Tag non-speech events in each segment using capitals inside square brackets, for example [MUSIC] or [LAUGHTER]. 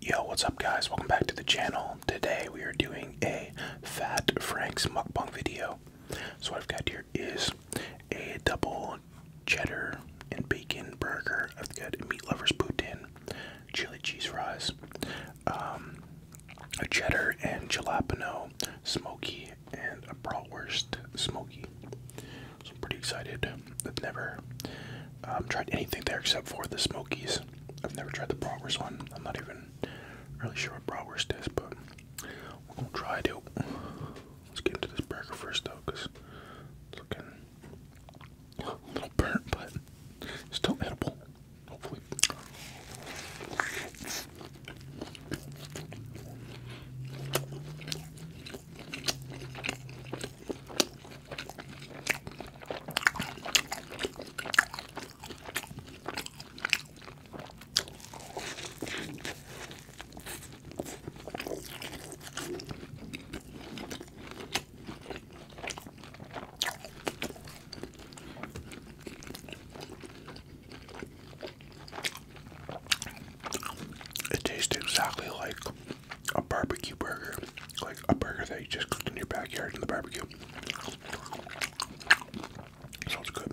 Yo, what's up guys? Welcome back to the channel. Today we are doing a Fat Frank's mukbang video. So what I've got here is a double cheddar and bacon burger. I've got a meat lover's poutine, chili cheese fries, um, a cheddar and jalapeno smoky, and a bratwurst smoky. So I'm pretty excited I've never um, tried anything there except for the Smokies. I've never tried the Bratwurst one. I'm not even really sure what Bratwurst is, but we're gonna try it out. Let's get into this burger first, though, because it's looking a little burnt, but still edible. Hopefully. It tastes exactly like a barbecue burger, like a burger that you just cooked in your backyard in the barbecue. Sounds good.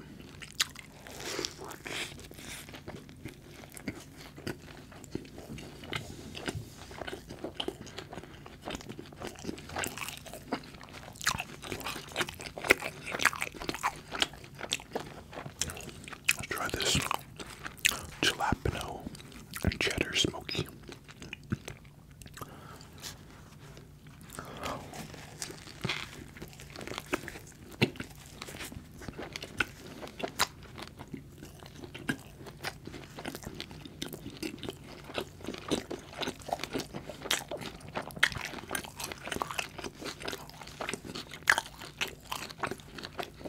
Let's try this jalapeno and cheddar smoky.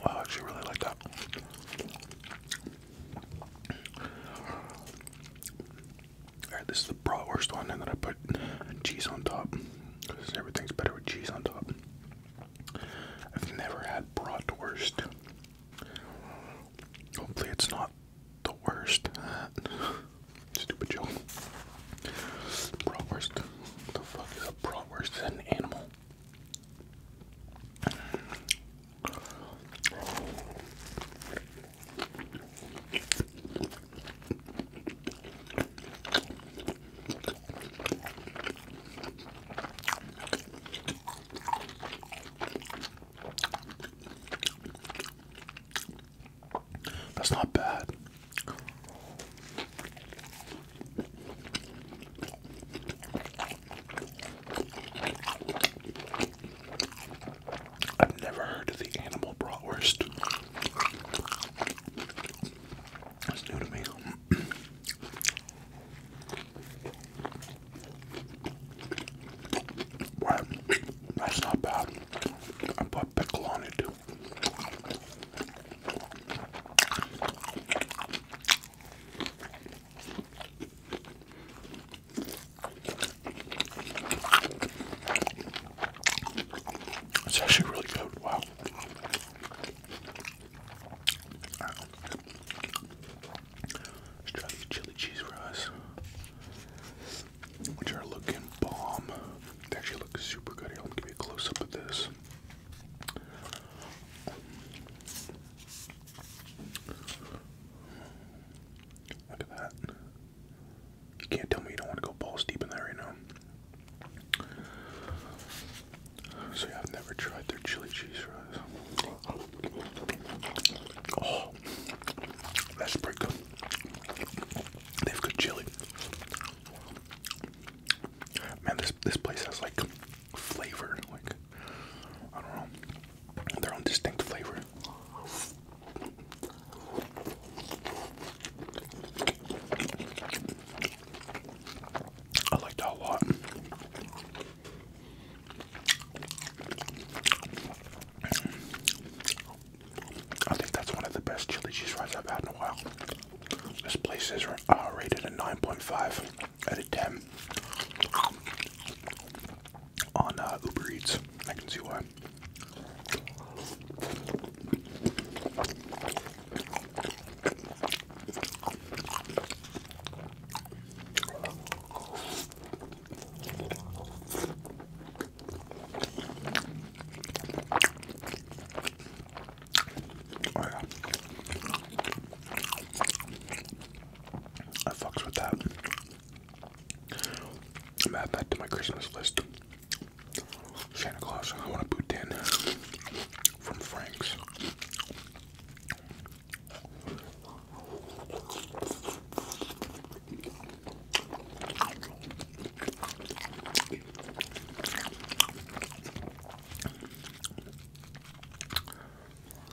Wow, I actually really like that. Alright, this is the bratwurst one, and then I put cheese on top. everything's better with cheese on top. I've never had bratwurst. Hopefully, it's not the worst. [LAUGHS] Stupid joke. Bratwurst. the fuck is a bratwurst? an animal? That's not bad. I've never heard of the animal bratwurst. That's new to me. [CLEARS THROAT] that's not bad. I put pickle on it it's actually really good. Wow. Let's try these chili cheese fries, which are looking bomb. They actually look super good. let me give you a close up of this. Look at that. You can't tell me you don't want to go balls deep in that right now. So I've never tried their chili cheese fries. Oh, that's pretty good. They have good chili. Man, this this place has like flavor, like I don't know, their own distinct flavor. I like that a lot. I think that's one of the best chili cheese fries I've had in a while. This place is uh, rated a 9.5 out of 10 on uh, Uber Eats. I can see why. Oh, yeah. I fucks with that. I'm going add that to my Christmas list. Santa Claus, I want a Boutin from Frank's.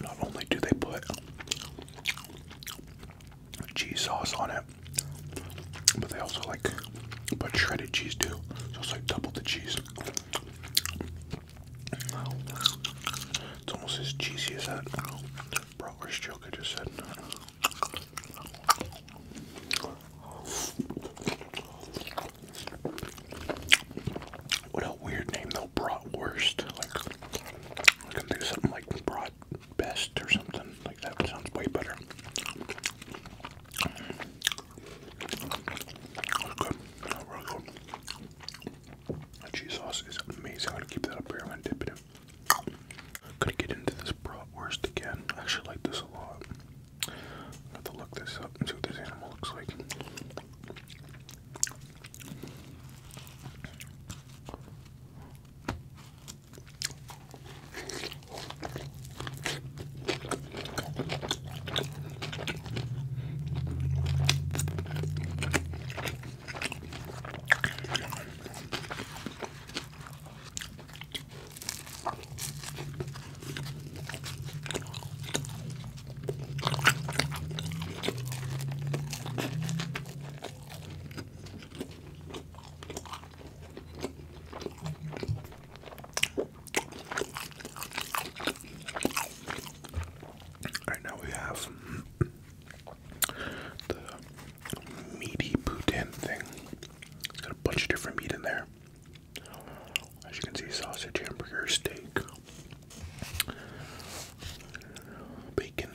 Not only do they put cheese sauce on it, but they also like put shredded cheese too. So it's like double the cheese. It's almost as cheesy as that. Worst joke I just said. What a weird name though, bratwurst. Like, can do something like brat best or something like that. Sounds way better. The cheese sauce is amazing. I'm gonna keep that up here. I'm gonna dip it in. get into this bratwurst again. I actually like this a lot. have to look this up and see what this animal looks like. All right now we have the meaty poutine thing. It's got a bunch of different meat in there. As you can see, sausage, hamburger, steak, bacon.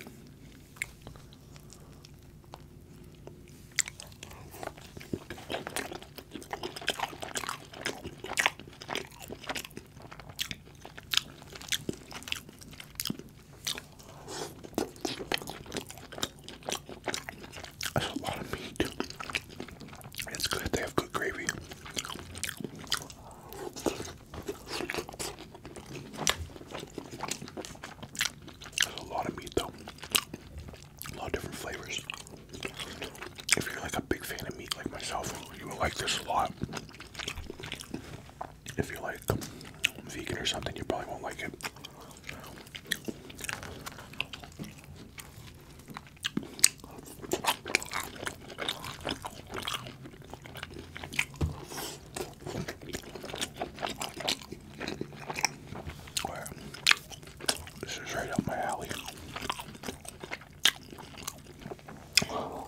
That's a lot of meat. It's good, they have good gravy. There's a lot of meat though. A lot of different flavors. If you're like a big fan of meat like myself, you will like this a lot. If you're like vegan or something, you probably won't like it. This is right up my alley.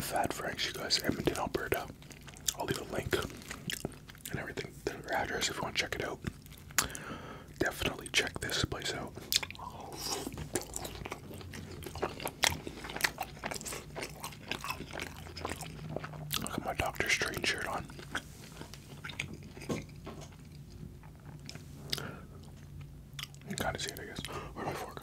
Fat Franks, you guys, Edmonton, Alberta. I'll leave a link and everything, their address if you want to check it out. Definitely check this place out. I got my Doctor Strange shirt on. You kind of see it, I guess. where my fork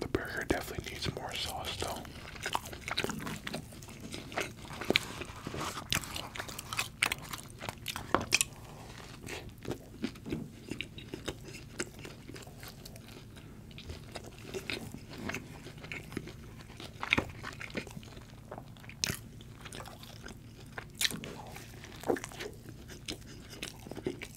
The burger definitely needs more sauce, though.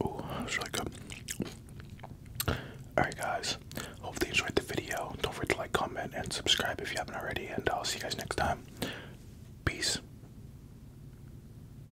Oh, that's really good. Alright, guys. Hopefully you enjoyed the video. Don't forget to like, comment, and subscribe if you haven't already. And I'll see you guys next time. Peace.